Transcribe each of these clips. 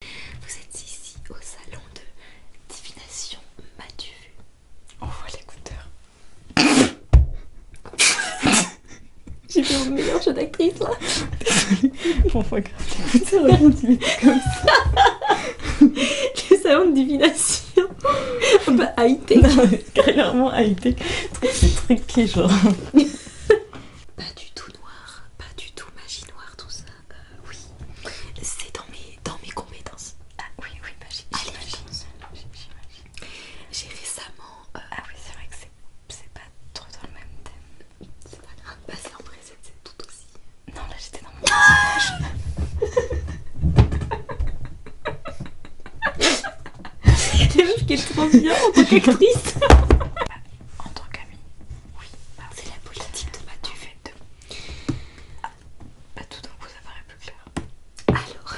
Vous êtes ici au salon de divination Mathieu. On voit l'écouteur. J'ai fait mon meilleur jeu d'actrice là. On voit grave l'écouteur comme ça. Le salon de divination. Ah bah, haïté. Carrément haïté. C'est truqué genre. Pas du tout noir, pas du tout magie noire, tout ça. Euh, oui, c'est dans mes, compétences. Ah oui, oui, bah j'imagine. J'ai récemment... Euh, ah oui, c'est vrai que c'est pas trop dans le même thème. C'est pas grave, bah, c'est en vrai, c'est tout aussi. Non, là j'étais dans mon C'est Les meufs qui est trop bien en tant qu'actrice. En tant qu'ami Oui. C'est la politique de Mathieu fait de... Ah, bah tout donc ça paraît plus clair. Alors,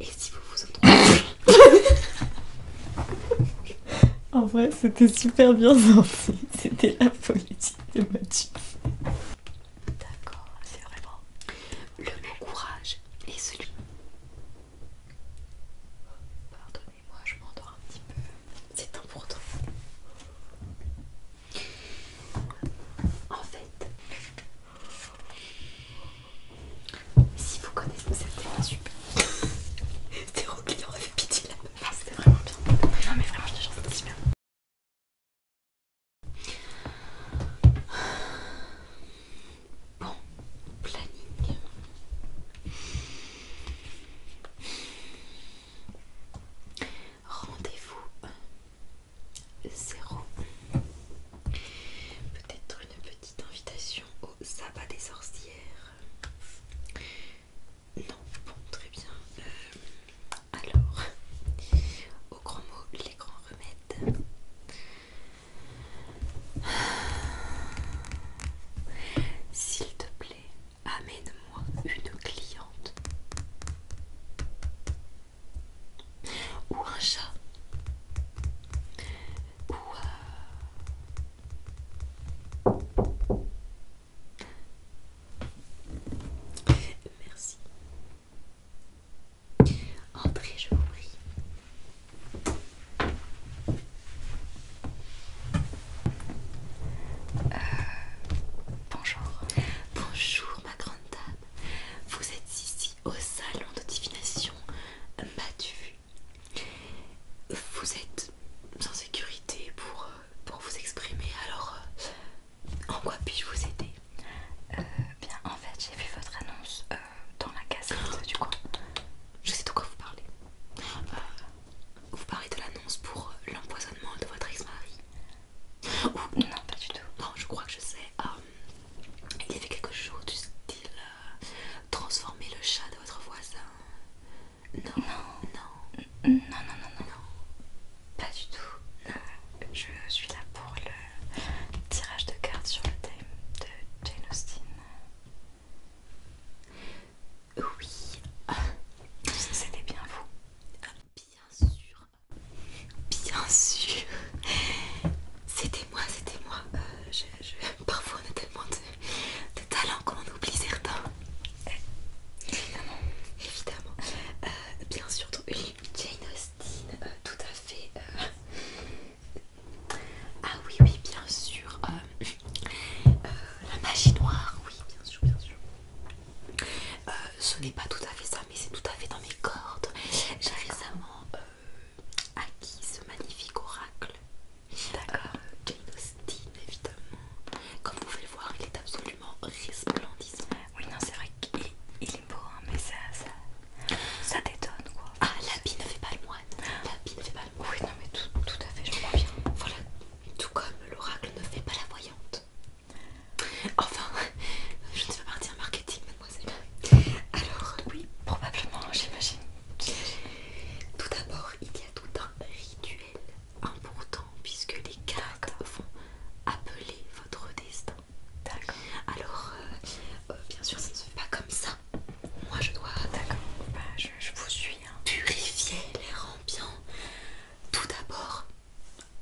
et si vous vous entendez... en vrai, c'était super bien sorti. C'était la politique de Mathieu. D'accord, c'est vraiment... Le bon courage est celui... Pardonnez-moi, je m'endors un petit peu c'est temps pour toi. En fait, si vous connaissez, c'était pas super. C'était au aurait on pitié la ah, c'était vraiment bien. Non, mais vraiment, je te jure, c'était bien. Bon, planning. Rendez-vous euh, zéro. Peut-être une petite invitation au sabbat des sorcières. Non, bon, très bien. Euh, alors, au grand mot, les grands remèdes. S'il te plaît, Amène-moi une cliente. Ou un chat. Ou euh... Merci. Entrez, je vous prie. Euh, bonjour. Bonjour ma grande dame. Vous êtes ici au salon de divination vu Vous êtes en sécurité pour, euh, pour vous exprimer. Alors, euh, en quoi puis-je vous aider Bien, en fait, j'ai vu votre annonce dans la cassette du coin. Je sais de quoi vous parlez vous parlez de l'annonce pour euh, l'empoisonnement de votre ex-mari non, pas du tout. Non, je crois que je sais. Euh, il y avait quelque chose du style euh, transformer le chat de votre voisin. Non, non, non, non, non, non, pas du tout. Je suis là pour le tirage de cartes sur le thème de Jane Austen. Oui. C'était bien vous. Bien sûr. Bien sûr. C'était moi, c'était moi. Euh, parfois on a tellement de, talents talent qu'on oublie certains. Évidemment. Évidemment. Euh, bien sûr, Jane Austen, euh, tout à fait. Ah oui, oui, bien sûr. Euh, la magie noire, oui, bien sûr, bien sûr. Euh, ce n'est pas tout à fait ça, mais c'est tout à fait dans mes cordes. J'ai récemment euh, acquis ce magnifique oracle. D'accord. Jane Austen, évidemment. Comme vous pouvez le voir, il est absolument resplendissant. Oui, non, c'est vrai qu'il est beau, hein, mais ça, ça, quoi. Ah, l'habit ne fait pas le moine oui, non, mais tout, à fait, je crois bien. Voilà, tout comme l'oracle ne fait pas la voyante. Enfin, je ne fais pas partie en marketing, mademoiselle. Alors, oui, probablement, j'imagine. Tout d'abord, il y a tout un rituel important puisque les cartes vont appeler votre destin. D'accord. Alors, euh, euh, bien sûr, ça ne se fait pas comme ça. Moi, je dois. D'accord. Bah, je vous suis purifier les ambiant. Tout d'abord,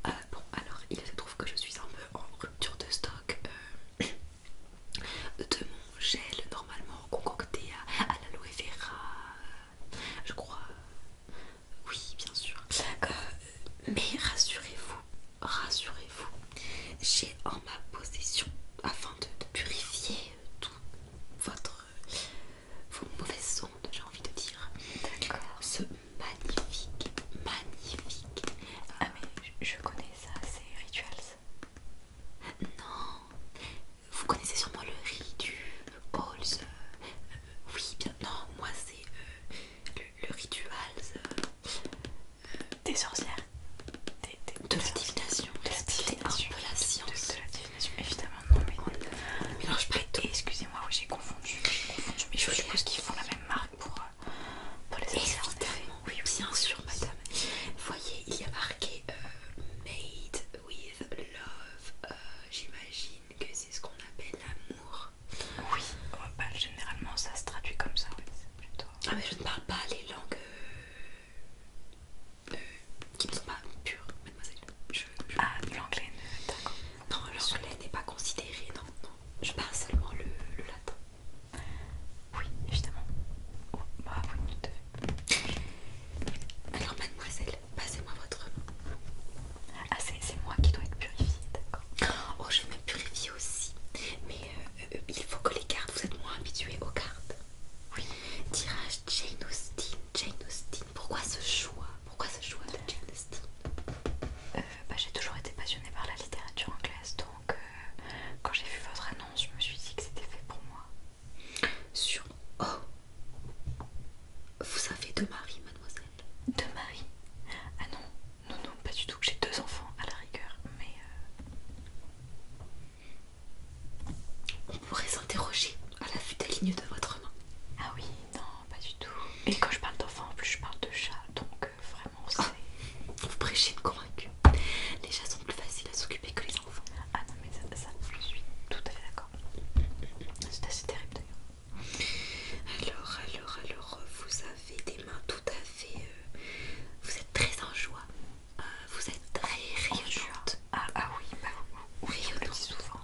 euh, bon, alors il se trouve que je suis un peu en rupture de stock euh, de mon gel normalement concocté à, l'aloe vera, je crois. Oui, bien sûr. Euh, mais rassurez-vous, rassurez-vous, j'ai en ma possession, afin de purifier tout votre vos mauvaises ondes, j'ai envie de dire. Ce magnifique, magnifique. Ah, mais je, connais ça, c'est Rituals. Non, vous connaissez sûrement le riz du euh, euh, oui, bien, non, moi c'est euh, le, Rituals. des sorcières. de, la divination. De la science évidemment, ne Excusez-moi, j'ai confondu, mais je suppose qu'ils font la même marque pour, euh, les oui, bien sûr, madame. Voyez, il y a marqué euh, Made with Love. Euh, j'imagine que c'est ce qu'on appelle l'amour. Oui, oh, bah, généralement ça se traduit comme ça, plutôt. Ah, mais je ne parle pas les langues qui ne sont pas pures, mademoiselle. Je, Ah, l'anglais, d'accord. Non, l'anglais n'est pas considéré, non, non. Je parle seulement le, latin. Oui, évidemment. Oh, bah oui, Alors, mademoiselle, passez-moi votre main. Ah, c'est moi qui dois être purifiée, d'accord. Oh, je vais me purifier aussi. Mais euh, euh, il faut que les cartes, vous êtes moins habituée aux cartes. Oui. Tirage Jane Austen. Jane Austen. Pourquoi ce choix Pourquoi ce choix de Jane Austen euh, bah, J'ai toujours été passionnée par la littérature anglaise, donc euh, quand j'ai vu votre annonce, je me suis dit que c'était fait pour moi. Sur... Oh Vous avez deux maris, mademoiselle Deux maris Ah non, non, non, pas du tout, j'ai deux enfants à la rigueur, mais... Euh, on pourrait s'interroger à la vue des lignes de votre main. Ah oui, non, pas du tout. Et quand je parle d'enfants, en plus je parle de chats, donc euh, vraiment ah, c'est... vous prêchez de convaincu. Les chats sont plus faciles à s'occuper que les enfants. Ah non mais ça, je suis tout à fait d'accord. C'est assez terrible d'ailleurs. Alors, alors, alors, vous avez des mains tout à fait... Euh, vous êtes très en joie vous êtes très rayonnante. Ah, ah, oui, bah oui, souvent.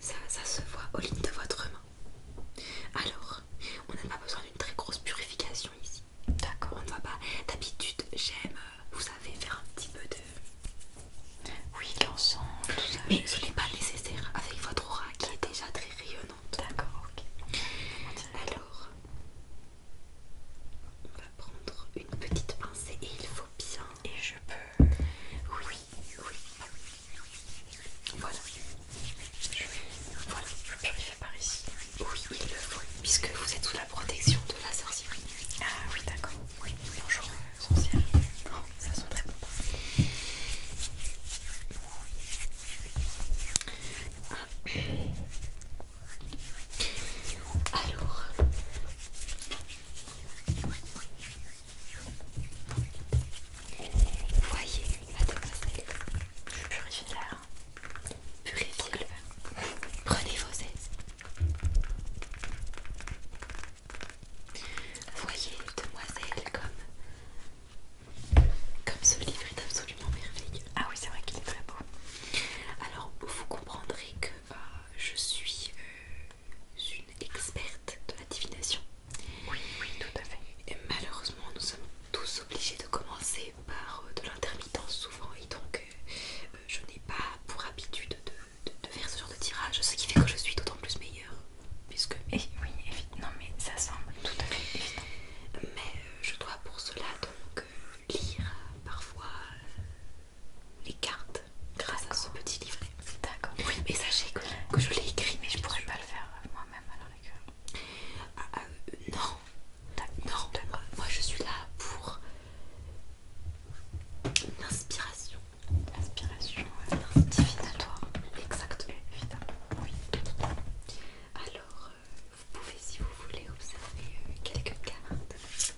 Ça, se voit aux lignes de votre main. Alors, on n'a pas besoin d'une très grosse purification ici. D'accord, on ne va pas. D'habitude, j'aime, euh, vous savez, faire un petit peu de. Oui, l'ensemble, tout ça. Mais ce n'est pas nécessaire avec votre aura qui est déjà très rayonnante. D'accord, ok. Alors, on va prendre une petite pincée et il faut bien. Et je peux. Oui, oui. Voilà. Je vais... Voilà, je vais faire par ici. Oui, oui. le faut, puisque vous êtes sous la protection de la sorcière. Ah oui, d'accord. Oui, bonjour, euh, sorcière. Oh, ça sent très bon. Ah. Alors, voyez, demoiselle, je suis purifiez-le. Prenez vos aises. Voyez, demoiselle, comme, comme ce livre est absolument merveilleux. Ah oui, c'est vrai qu'il est très beau. Alors, vous comprendrez que euh, je suis euh, une experte de la divination. Oui, oui, tout à fait. Et malheureusement, nous sommes tous obligés de commencer par euh, de l'intermittence souvent, et donc euh, je n'ai pas pour habitude de, faire ce genre de tirage, ce qui fait que je suis d'autant plus meilleure. Puisque... Eh oui, évidemment, mais ça semble tout à fait évident. Mais je dois pour cela donc lire parfois les cartes grâce à ce petit livret. D'accord. Oui, mais sachez que, je l'ai écrit, mais je pourrais pas le faire moi-même alors ah, ah, euh, non. Non, moi je suis là pour l'inspiration. L'inspiration, divinatoire. Exactement. oui. Alors, euh, vous pouvez si vous voulez observer euh, quelques cartes.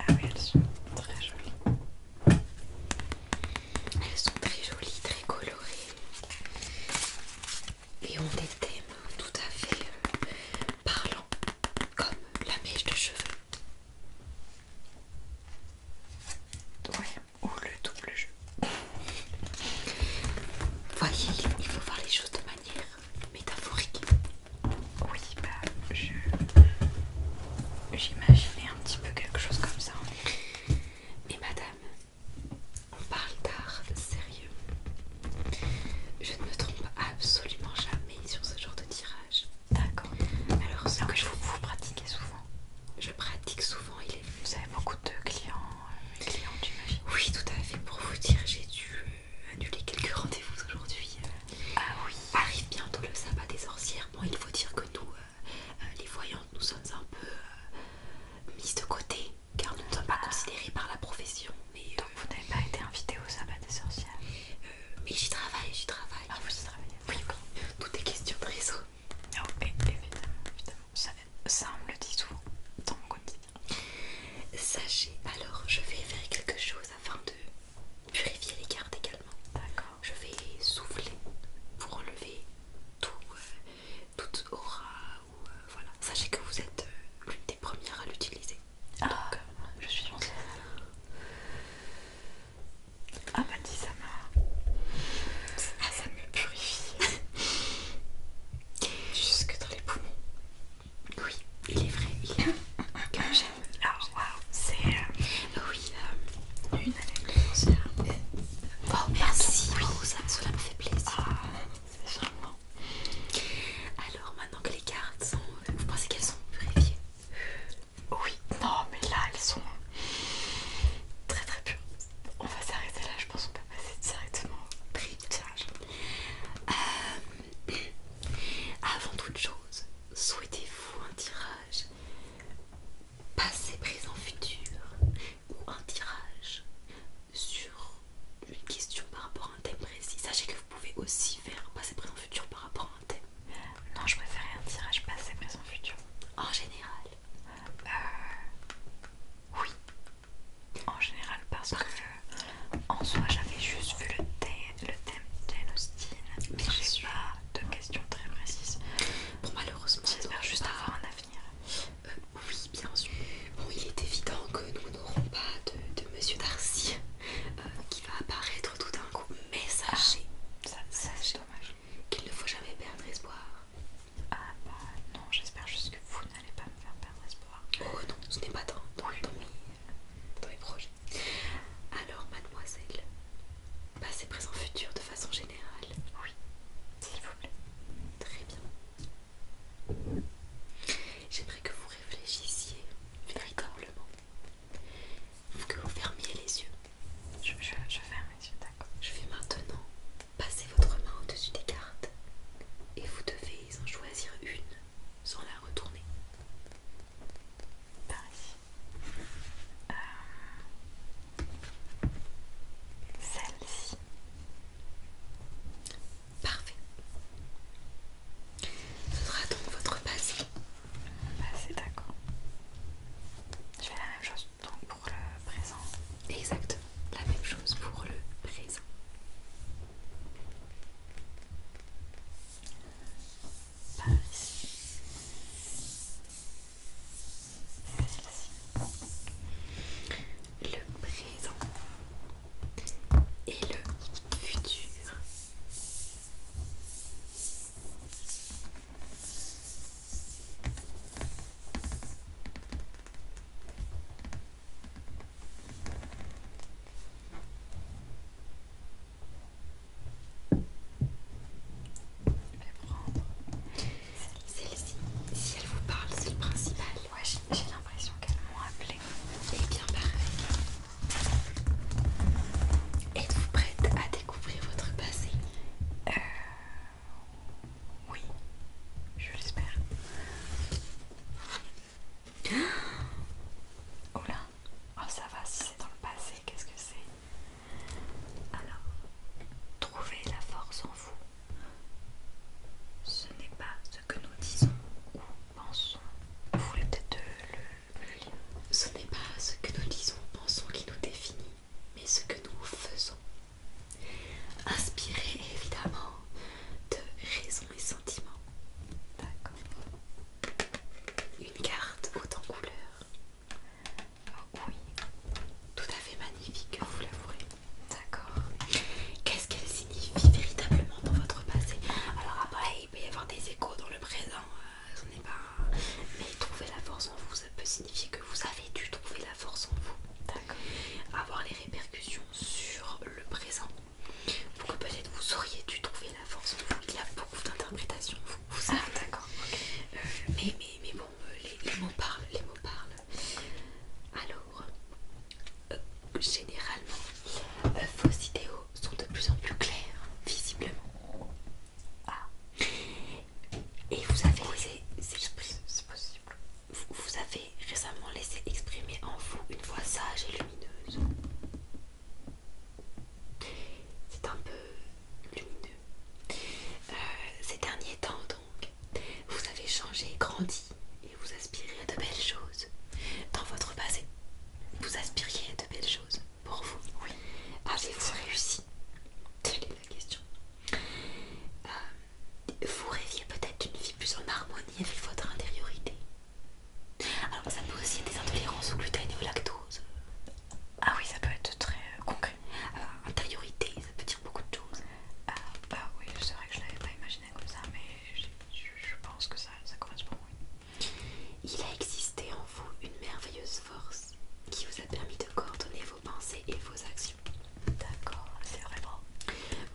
Ah oui, elles sont très jolies. Elles sont très jolies, très colorées. Et on des thèmes tout à fait euh, parlants, comme la mèche de cheveux. Ouais, ou le double jeu. Voyez, il faut voir les choses de manière métaphorique. Oui, bah, je. J'imaginais un petit peu quelque chose comme ça. Mais madame, on parle d'art sérieux. Je ne me trompe absolument jamais sur ce genre de tirage. D'accord. Alors, ce que je vous, pratiquez souvent Je pratique souvent, il est. Vous avez beaucoup de clients, euh, Oui, tout à fait. Pour vous dire, j'ai dû euh, annuler quelques rendez-vous aujourd'hui. Euh, ah oui. Arrive bientôt le sabbat des sorcières. Bon, il faut dire que nous, euh, euh, les voyantes, nous sommes un peu mises de côté car nous ne sommes pas ah. considérés par la profession. Mais, Donc vous n'avez pas été invité au sabbat des sorcières Mais j'y travaille, j'y travaille. Ah, vous y travaillez Oui, oui. Tout est question de réseau. Ah, évidemment, Ça, me le dit souvent dans mon quotidien. Sachez, alors je vais faire quelque chose afin de purifier les cartes également. D'accord. Je vais souffler pour enlever tout, euh, toute aura. Ou, euh, voilà. Sachez que vous êtes euh, l'une des premières à l'utiliser. Ah, Donc, je suis en Ah bah dis ça m'a... Ah ça me purifie Jusque dans les poumons oui, il est vrai, il est comme j'aime. Alors, waouh, c'est. Euh, oui, euh, une année de Bon merci, oui. cela me fait plaisir. Ah, c'est charmant. Alors, maintenant que les cartes sont. Vous pensez qu'elles sont purifiées Oui, non, mais là, elles sont très très pures. On va s'arrêter là, je pense qu'on peut passer directement au prix du tirage. Euh, avant toute chose, souhaitez-vous un tirage passé, présent, futur ou un tirage sur une question par rapport à un thème précis Sachez que vous pouvez aussi faire passé, présent, futur par rapport à un thème. Non, je préférerais un tirage passé, présent, futur. En général euh, Oui, en général parce que en soi j'avais juste vu le thème, le thème de Jane Austen mais j'ai pas de questions très précises bon malheureusement j'espère juste avoir un avenir euh, oui bien sûr bon il est évident que nous n'aurons pas de, Monsieur Darcy euh, qui va apparaître tout d'un coup mais sachez ah, ça, ça c'est dommage qu'il ne faut jamais perdre espoir ah bah non j'espère juste que vous n'allez pas me faire perdre espoir Oh, non. Ce n'est pas dans, mes, projets. Alors, mademoiselle, passé, présent, futur de façon générale. Oui, s'il vous plaît. Très bien. J'aimerais que vous réfléchissiez véritablement. Que vous fermiez les yeux. je ferme les yeux, d'accord. Je vais maintenant passer votre main au-dessus des cartes et vous devez en choisir une sans la retourner. Par ici. Euh, celle-ci. Parfait. Ce sera donc votre passé. Passé, bah, d'accord. Je fais la même chose donc pour le présent. Exactement. La même chose pour le présent. Le présent et le futur. Je vais prendre celle-ci. Si elle vous parle, c'est le principal. Ouais, j'ai l'impression qu'elle m'ont appelé. Et bien parfait. Êtes-vous prête à découvrir votre passé euh... Oui, je l'espère. Oh ça va, si c'est dans le passé, qu'est-ce que c'est Alors, trouver la force en vous. Ce n'est pas ce que nous disons ou pensons. Vous voulez peut-être euh, le, Ce n'est pas ce que nous disons ou pensons qui nous définit, mais ce que nous faisons. Inspiré évidemment de raison sentiments. D'accord. Une carte autant couleur. Ah oui, tout à fait magnifique, vous l'avouerez. D'accord. Qu'est-ce qu'elle signifie véritablement dans votre passé Alors après, il peut y avoir des échos dans le présent, euh, ce n'est pas... Mais trouver la force en vous, ça peut signifier que vous avez dû trouver la force en vous. D'accord. Avoir les répercussions sur le présent, donc peut-être vous auriez dû trouver la force en vous. Il y a beaucoup d'interprétations. Vous, ah, d'accord. Euh, mais, mais, mais bon, euh, les, mots parlent, les mots parlent. Alors, euh, généralement, vos idéaux sont de plus en plus claires, visiblement. Ah. Et vous avez C'est possible. vous avez récemment laissé exprimer en vous une voix sage et lumineuse. C'est un peu lumineux. Euh, ces derniers temps donc, vous avez changé, grandi et vous aspirez à de belles choses. Dans votre passé, vous aspiriez à de belles choses pour vous. Oui. Avez-vous réussi Telle est la question. Euh, vous rêviez peut-être d'une vie plus en harmonie avec votre intériorité. Alors ça peut aussi être des intolérances au gluten et au lactose. Ah oui, ça peut être très euh, concret. Euh, intériorité, ça peut dire beaucoup de choses. Ah bah oui, c'est vrai que je l'avais pas imaginé comme ça, mais je, pense que ça, ça correspond. moi. Il a existé en vous une merveilleuse force qui vous a permis de coordonner vos pensées et vos actions. D'accord, c'est vraiment...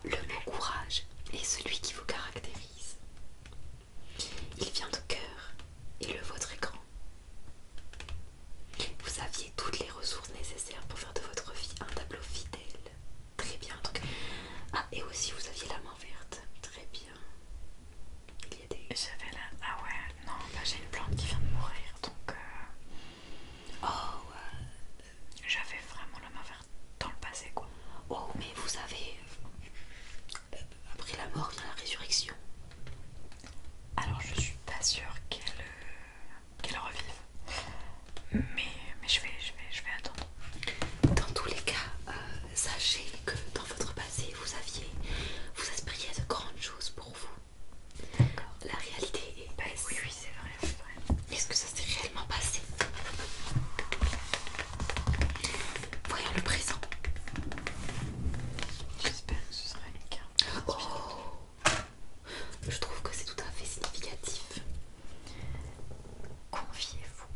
Le mot courage et celui qui vous caractérise. Il vient de cœur et le votre écran. grand. Vous aviez toutes les ressources nécessaires pour faire de votre vie un tableau fidèle. Très bien. Ah, et aussi vous aviez la main verte. Très bien. Il y a J'avais la... Ah ouais, non, bah, j'ai une plante qui vient de mourir, donc... Euh, oh, J'avais vraiment la main verte dans le passé quoi. Oh mais vous avez euh, après la mort vient la résurrection. Alors je suis pas sûre qu'elle euh, revive. Mais, je, vais, vais, attendre. Dans tous les cas, euh, sachez que dans votre passé, vous aviez, vous aspiriez à de grandes choses pour vous. La réalité est basse. c'est vrai. Est-ce que ça s'est réellement passé Voyons le présent. J'espère que ce sera une carte. Oh Je trouve que c'est tout à fait significatif. Confiez-vous.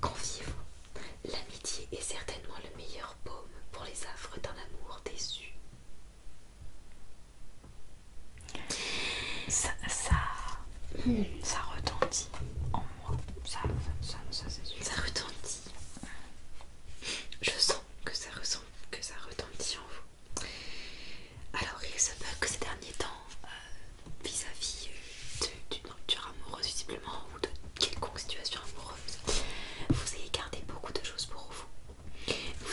Confiez-vous. L'amitié est certainement le meilleur baume pour les affres d'un amour déçu. Ça, ça, retentit en moi. Ça, retentit. Je sens que ça ressent, que ça retentit en vous. Alors il se peut que ces derniers temps, euh, vis-à-vis euh, d'une rupture amoureuse visiblement ou de quelconque situation amoureuse, vous ayez gardé beaucoup de choses pour vous. Vous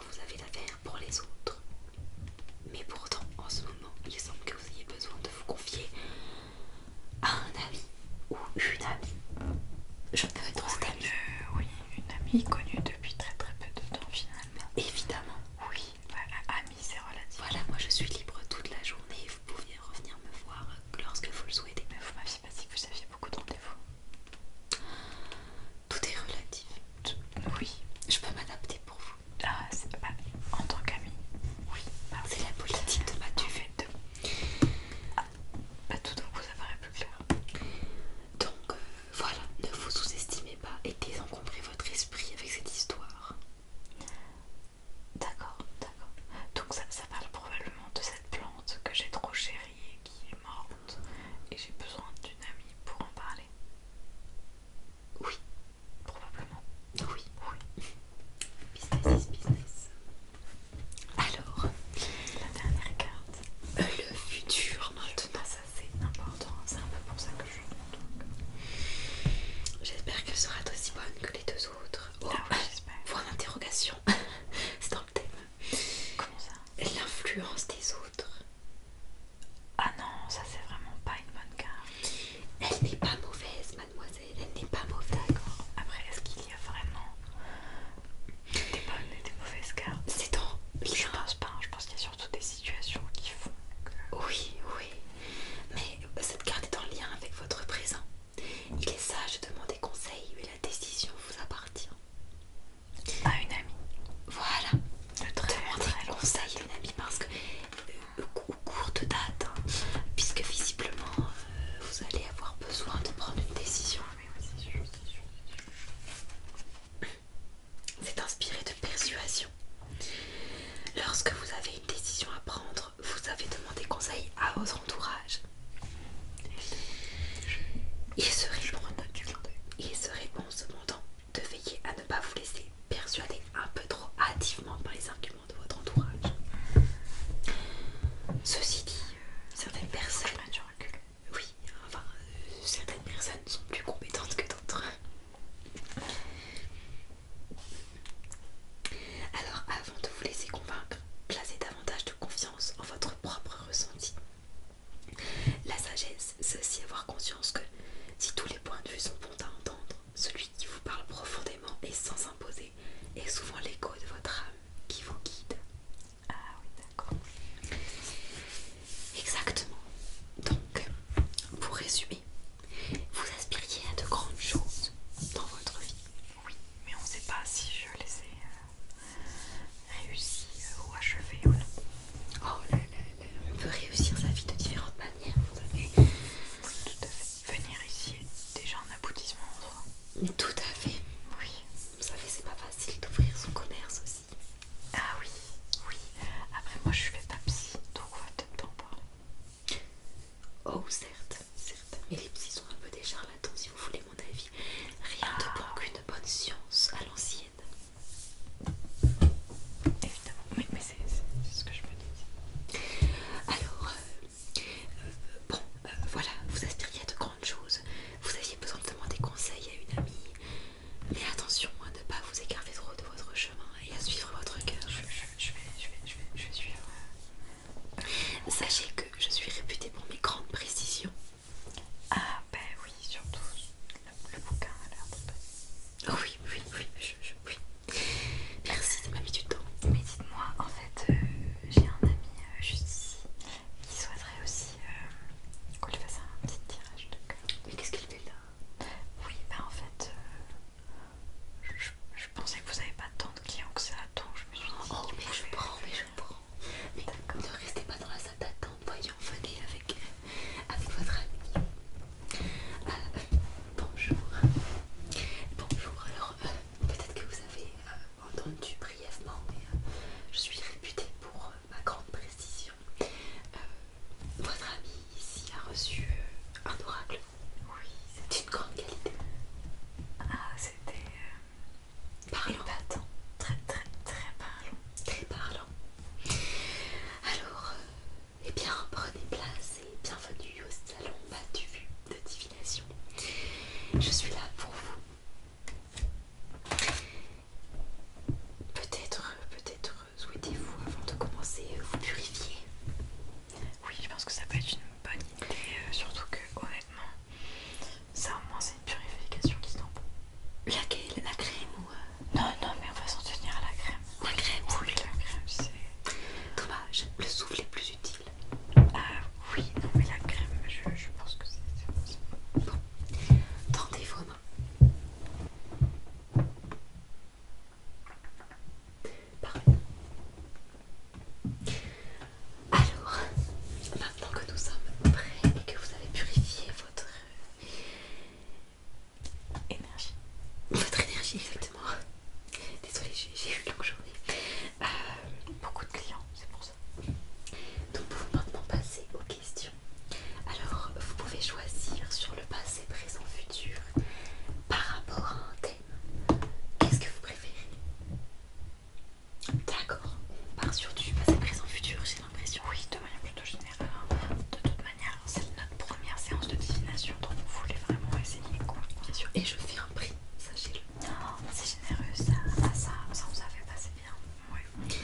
vous avez l'affaire pour les autres. Mais pourtant, en ce moment, il semble que vous ayez besoin de vous confier à un ami ou une amie. Je peux être cette oui, une amie connue depuis très très peu de temps finalement. Évidemment. Oui, voilà, bah, amie c'est relatif. Voilà, moi je suis libre toute la journée. Vous pouvez revenir me voir lorsque vous le souhaitez. Mais vous m'aviez pas si que vous aviez beaucoup de vous Tout est relatif. Oui, je peux m'adapter pour vous. En tant qu'ami. Oui, c'est la politique de ma du fait de... tout d'un coup ça paraît plus clair. Donc euh, voilà, ne vous sous-estimez pas et désencombrez votre esprit avec cette histoire. D'accord, d'accord. Donc ça, ça parle probablement de cette plante que j'ai trop chérie et qui est morte et j'ai besoin d'une amie pour en parler. Oui, probablement. Oui, oui. business is business. Alors, la dernière carte. Euh, le futur maintenant. Ah, ça c'est important, c'est un peu pour ça que je J'espère qu'elle sera aussi bonne que les deux autres. Ah oh, ah oui, j'espère. Point d'interrogation. c'est dans le thème. Comment ça L'influence des autres. Ah non, ça c'est vraiment pas une bonne carte. Elle n'est pas mauvaise, mademoiselle, elle n'est pas mauvaise. D'accord. Après, est-ce qu'il y a vraiment des bonnes et des mauvaises cartes C'est dans Je pense pas, hein. je pense qu'il y a surtout des situations qui font que. Oui, oui. Mais euh, cette carte est en lien avec votre présent. Il est sage de demander conseil, mais la décision vous appartient à une amie. Voilà. De très conseil une amie parce que euh, au date, hein, puisque visiblement euh, vous allez avoir besoin de prendre une décision. C'est inspiré de persuasion. Lorsque vous avez une décision à prendre, vous avez demandé conseil à votre entourage. Il se répond cependant de veiller à ne pas vous laisser persuader un peu trop hâtivement par les arguments de votre entourage. Ceci dit, euh, Oui, euh, certaines personnes sont plus compétentes que d'autres. Alors, avant de vous laisser convaincre, placez davantage de confiance en votre propre ressenti. La sagesse, c'est aussi avoir conscience que si tous les points de vue sont bons à entendre, celui qui vous parle profondément et sans s'imposer est souvent l'écho de votre âme qui vous guide. Ah oui, d'accord. Exactement. Donc, pour résumer, vous aspiriez à de grandes choses dans votre vie. Oui, mais on ne sait pas si je les ai euh, réussi ou achever on peut oh, réussir sa vie de différentes manières. tout à fait. Venir ici est déjà un aboutissement en soi. tout à fait. Oui. Vous savez, c'est pas facile d'ouvrir son commerce aussi. Ah oui, oui. Après, moi, je suis pas psy, donc on va peut-être en parler. Oh, certes, certes. Mais les psys sont un peu des charlatans, si vous voulez mon avis. Rien de ah bon qu'une bonne science à l'ancienne. Évidemment, mais, c'est ce que je me dis. Alors, euh, bon, euh, voilà, vous aspiriez à de grandes choses. Vous aviez besoin de demander conseil à une amie. Mais attention à ne pas vous écarter trop de votre chemin et à suivre votre cœur. je, je, je vais suivre. Sachez que je suis réputée pour mes grandes précisions ah bah oui, surtout le, bouquin a l'air de... bien. Oh oui, oui, oui, je, Merci de m'a mis du temps. Mais dites-moi, en fait, euh, j'ai un ami euh, juste ici qui souhaiterait aussi euh, qu'on lui fasse un petit tirage de cœur. Mais qu'est-ce qu'il fait là Oui, bah en fait, je, pensais que vous n'avez pas tant de clients que ça, donc je me suis dit... Oh je prends, mais mais ne restez pas dans la salle d'attente, voyons, venez avec, avec votre ami. Euh, bonjour. Bonjour, alors euh, peut-être que vous avez euh, entendu brièvement, mais je suis réputée pour ma grande précision. votre ami ici a reçu un oracle. Oui, c'est une grande qualité. Ah, c'était parlant. maintenant, Très très très parlant. Très parlant. Alors, euh, eh bien, prenez place et bienvenue au salon battu de divination. Je suis là pour vous. Peut-être, peut-être souhaitez-vous avant de commencer vous purifier. Oui, je pense que ça peut être une bonne idée, euh, surtout que honnêtement, ça au moins c'est une purification qui tombe Laquelle La crème ou... Euh... Non, non, mais on va s'en tenir à la crème. La crème ou la crème c'est... Dommage, le souffle est plus utile. Ah oui, non mais la crème, je, je pense que c'est... Bon, tentez vos mains. Parfait. Alors, maintenant que nous sommes prêts et que vous avez purifié votre énergie. Votre énergie, exactement. Désolée, j'ai eu une longue journée. Euh, beaucoup de clients, c'est pour ça. Donc, pouvez maintenant passer aux questions. Alors, vous pouvez choisir sur le passé, présent, futur par rapport à un thème. Qu'est-ce que vous préférez D'accord, on part sur du passé, présent, futur, j'ai l'impression. Oui, de manière plutôt générale. De toute manière, c'est notre première séance de divination, donc vous voulez vraiment essayer quoi. Bien sûr, et je fais un prix, sachez-le. Oh. c'est généreux ça, ça, ça vous a fait passer bien.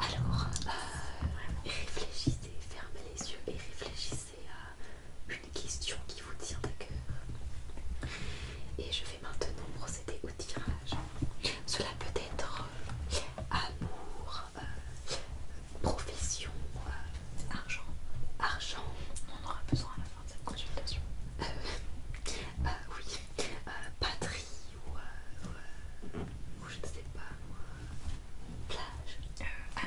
Alors, euh, réfléchissez, fermez les yeux et réfléchissez à une question qui vous tient à cœur. Et je vais maintenant procéder au tirage cela peut être euh, amour, euh, profession, euh, argent. Argent, on aura besoin à la fin de cette consultation. oui, patrie ou, je ne sais pas, plage. Euh,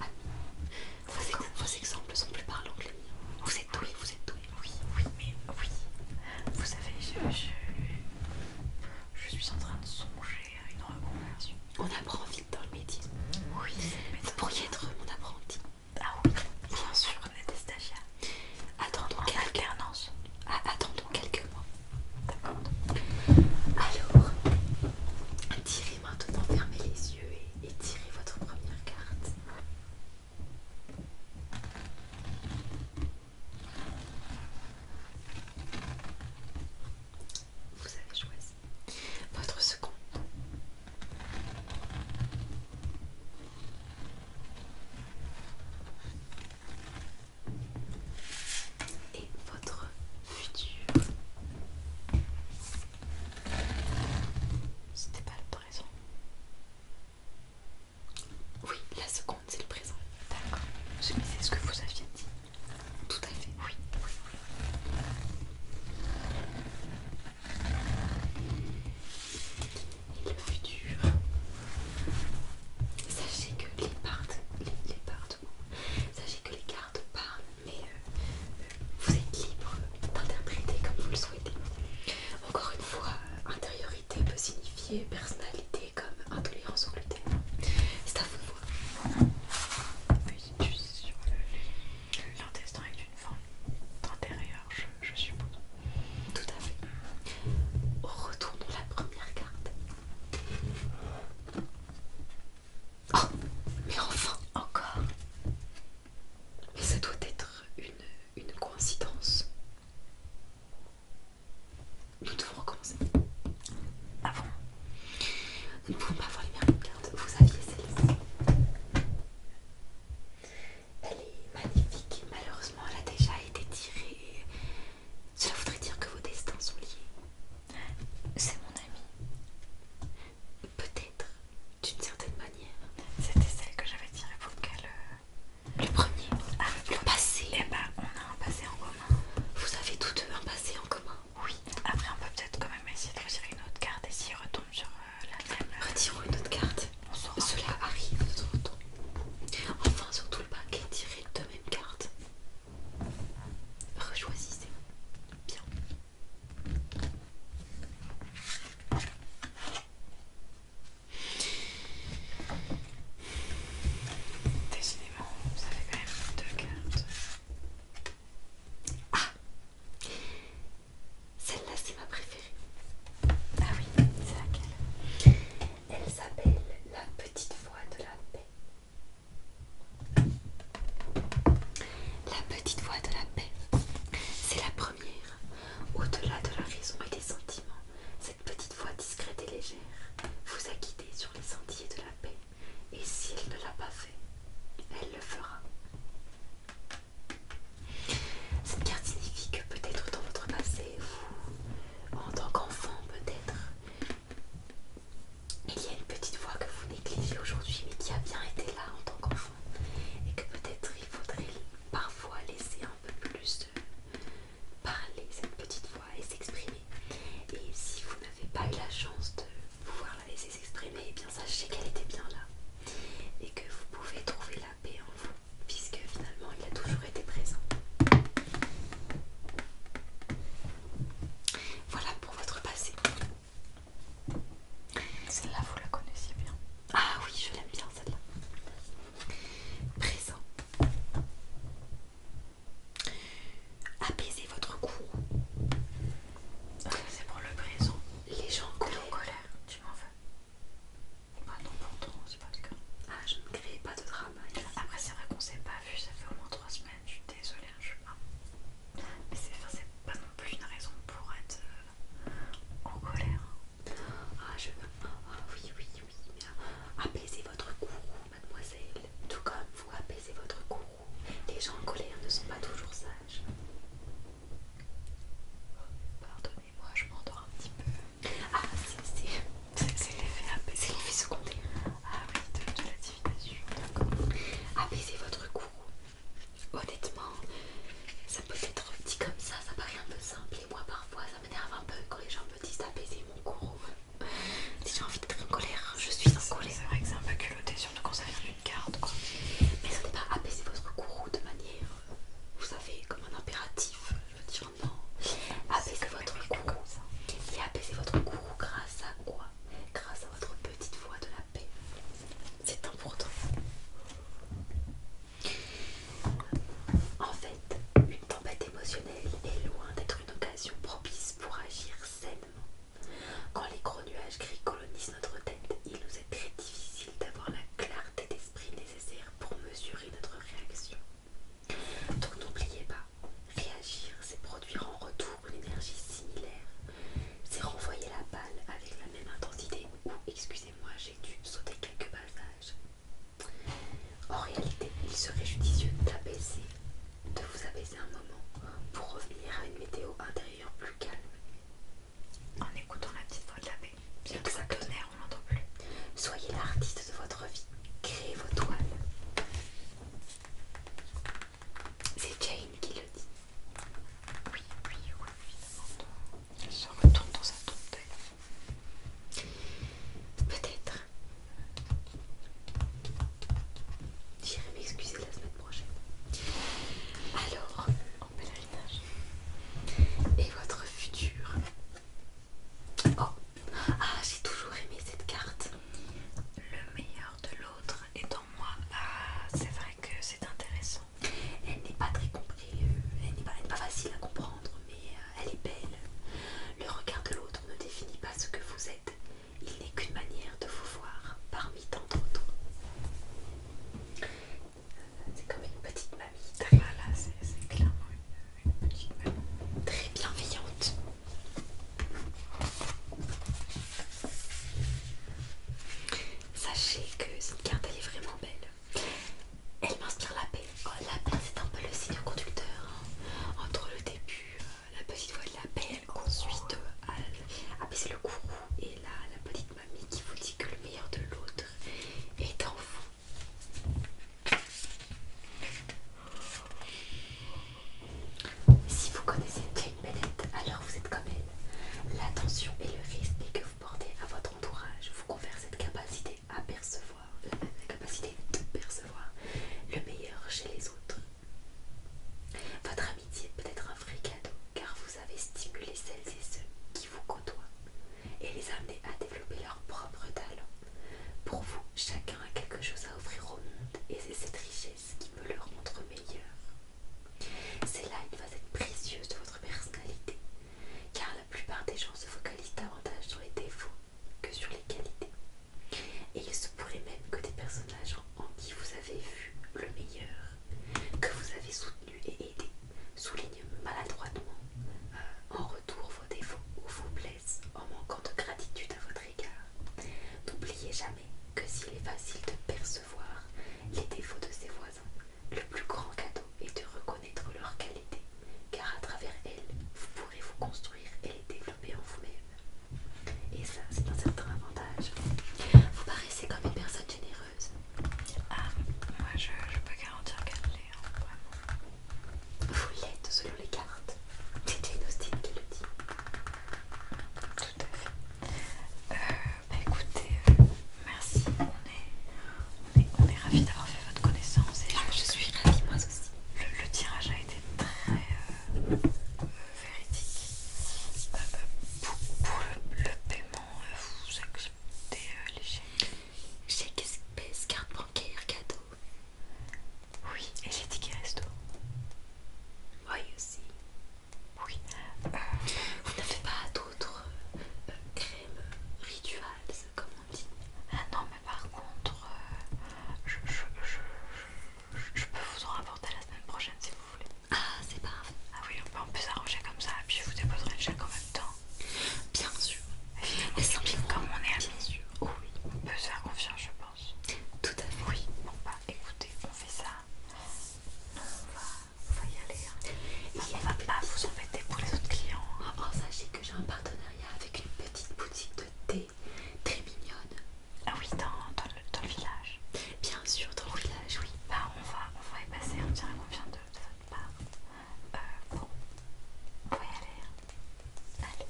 amis. Vos, vos exemples sont plus parlants que les miens. Vous êtes doués, vous êtes doués. Oui, oui, mais oui. Vous savez, je, suis en train de songer à une reconversion. On apprend vite dans le métier. Oui, vous pourriez être mon apprenti. Ah oui, bien sûr, on est Attendons quelques... alternance. Ah, attendons quelques mois. D'accord. Alors, tirez maintenant, fermez les yeux et tirez votre première carte. Vous avez choisi votre second. Et votre futur. C'était pas le présent. Oui, la seconde c'est le présent. D'accord. c'est ce que vous aviez dit. Tout à fait, oui. Et le futur. Sachez que les sachez que les cartes parlent, mais euh, euh, vous êtes libre d'interpréter comme vous le souhaitez. Encore une fois, intérieur peut signifier personnalité comme intolérance au gluten. C'est à vous de voir. Oui, sur l'intestin est une forme d'intérieur, je, suppose. Tout à fait. Retournons la première carte. Oh, mais enfin, encore. Mais ça doit être une coïncidence. Nous devons recommencer. Avant, nous ne pouvons pas avoir les mêmes cartes. Vous aviez celle-ci. Elle est magnifique. Malheureusement, elle a déjà été tirée. Cela voudrait dire que vos destins sont liés. C'est mon ami. Peut-être, d'une certaine manière. C'était celle que j'avais tirée pour qu'elle euh, le premier. Ah, le passé. Eh ben, on a un passé en commun. Vous avez tous deux un passé en commun. Oui. Après, on peut peut-être quand même essayer de retirer une autre carte et s'il retombe sur euh, la même. Retirons une autre carte. On Cela arrive de temps Enfin, surtout le paquet tiré deux même carte. Rechoisissez. Bien. Décidément, ça fait quand même deux cartes. Ah Celle-là, c'est ma préférée. Ah oui, c'est laquelle Elle s'appelle La Petite Voix de la Paix. La Petite Voix de la Paix, c'est la première, au-delà de la raison et des sentiments cette petite voix discrète et légère vous a guidé sur les sentiers de la paix, et si elle ne l'a pas fait, elle le fera. Cette carte signifie que peut-être dans votre passé, vous, en tant qu'enfant peut-être, il y a une petite voix que vous négligez aujourd'hui, mais qui a bien été là en tant qu'enfant, et que peut-être il faudrait parfois laisser un peu plus parler cette petite voix et s'exprimer. Et si vous n'avez pas eu la chance de pouvoir la laisser s'exprimer, Et eh bien sachez qu'elle était bien là et que vous pouvez trouver la paix en vous, puisque finalement il a toujours été présent. Voilà pour votre passé. Celle-là, vous la connaissez bien. Ah oui, je l'aime bien celle-là. Présent. apaiser votre cou. C'est pour le présent. Les gens en colère, tu m'en veux. non pour toi, c'est pas le cas. Ah, je ne crée pas de drama. Hein. Après, c'est vrai qu'on s'est pas vu, ça fait au moins 3 semaines. Je suis désolée, hein, je suis pas. Mais c'est pas non plus une raison pour être euh, en colère. Ah, je ah, oui, oui, oui. Euh, apaisez votre courroux, mademoiselle. Tout comme vous apaisez votre courroux. Les gens en colère ne sont pas toujours sages. Pardonnez-moi, je m'endors un petit peu. Ah, c'est l'effet apaiser, l'effet secondaire. Ah oui, de, la divination, d'accord. Apaisez votre courroux. Honnêtement, ça peut être dit comme ça, ça paraît un peu simple. Et moi parfois ça m'énerve un peu quand les gens me disent apaiser ah, mon courroux. Si j'ai envie d'être en colère, je suis en colère. C'est vrai que c'est un peu culotté, surtout quand ça carte Mais ce n'est pas apaiser votre courroux de manière, vous savez, comme un impératif. Je veux dire non. Apaiser votre courroux. Et apaiser votre courroux grâce à quoi Grâce à votre petite voix de la paix. C'est important. En fait, une tempête émotionnelle est loin d'être une occasion propice pour agir sainement. Quand les gros nuages gris colonisent notre tête, il nous est très difficile d'avoir la clarté d'esprit nécessaire pour mesurer notre réaction. Donc n'oubliez pas, réagir, c'est produire en retour une énergie similaire. C'est renvoyer la balle avec la même intensité ou, excusez-moi, j'ai dû sauter quelques passages. En réalité, il serait judicieux d'apaiser, de vous apaiser un moment pour revenir à une météo intérieure plus calme. En écoutant la petite voix de la paix, bien que ça tonnerre, on l'entend plus. Soyez l'artiste de votre vie, créez vos toiles. C'est Jane qui le dit. Oui, oui, oui, oui, Elle se retourne dans sa tombe Peut-être. J'irai m'excuser la semaine prochaine. Alors, en pèlerinage. Et votre futur Oh Ah, j'ai toujours aimé cette carte. Le meilleur de l'autre est en moi. Ah, c'est vrai que c'est intéressant. Elle n'est pas très comprise, elle n'est pas, facile à comprendre, mais euh, elle est belle. Le regard de l'autre ne définit pas ce que vous êtes. Il n'est qu'une manière de vous voir parmi tant d'autres. Euh, c'est comme une petite mamie, très, c'est clairement une, petite mamie très bienveillante. Sachez que cette carte elle est vraiment belle. Elle m'inspire la paix. Oh, la paix, c'est un peu le signe conducteur hein. entre le début, euh, la petite voix de la paix, ensuite euh, à, baisser ah, le courroux et la, petite mamie qui vous dit que le meilleur de l'autre est en vous. Si vous connaissez Jane Bennett, alors vous êtes comme elle. L'attention et le risque que que à votre entourage vous confère cette capacité à percevoir, la capacité de percevoir le meilleur chez les autres. Votre amitié peut être un vrai cadeau car vous avez stimulé celles et ceux qui vous côtoient et les amener à développer leur propre talent. Pour vous, chacun a quelque chose à offrir au monde et c'est cette richesse qui peut le rendre meilleur. C'est là une être précieuse de votre personnalité car la plupart des gens se focalisent davantage sur les défauts que sur les qualités. Et il se pourrait même que des personnages en qui vous avez vu le meilleur, que vous avez soutenu et aidé, soulignent maladroitement euh, en retour vos défauts ou vous blesses en manquant de gratitude à votre égard. N'oubliez jamais que s'il est facile de percevoir les défauts de ses voisins, le plus grand cadeau est de reconnaître leurs qualités, car à travers elles, vous pourrez vous construire et les développer en vous-même. Et ça, c'est un certain avantage. Vous paraissez comme une personne généreuse. Ah, moi je, peux garantir qu'elle l'est, hein, vraiment. Vous l'êtes selon les cartes. C'est Jane Austen qui le dit. Tout à fait. Euh, bah, écoutez, euh, Merci, on est, ravis d'avoir fait votre connaissance. Et je, suis ravie, moi aussi. Le, tirage a été très euh, euh, véridique. Euh, pour, le, paiement, vous acceptez les chèques Chèque espèce, carte bancaire, cadeau. Oui, et les tickets resto. Oui aussi. Oui. vous n'avez pas à crème crème euh, crèmes rituals, comme on dit. Ah non, mais par contre, euh, je, je, je, peux vous en rapporter la semaine prochaine si vous voulez. Ah, c'est parfait. Ah oui, on peut s'arranger comme ça, puis je vous déposerai le chèque en même temps. Bien sûr. Et comme on est amis. Bien oui, on peut se faire confiance, je pense. Tout à fait. Oui, bon, bah écoutez, on fait ça on va y aller. Hein. Et on va pas vous embêter pour les autres clients. Hein. Ah, oh, sachez que j'ai un partenariat avec une petite boutique de thé très mignonne. Ah oui, dans, le, village. Bien sûr, dans le village, oui. Bah, on va, y passer, on dirait qu'on vient de, votre part. Euh, bon, on va y aller. Hein. Allez.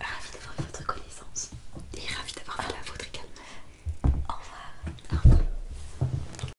Ravi d'avoir votre connaissance et ravi d'avoir fait la vôtre également. Au revoir. Au revoir.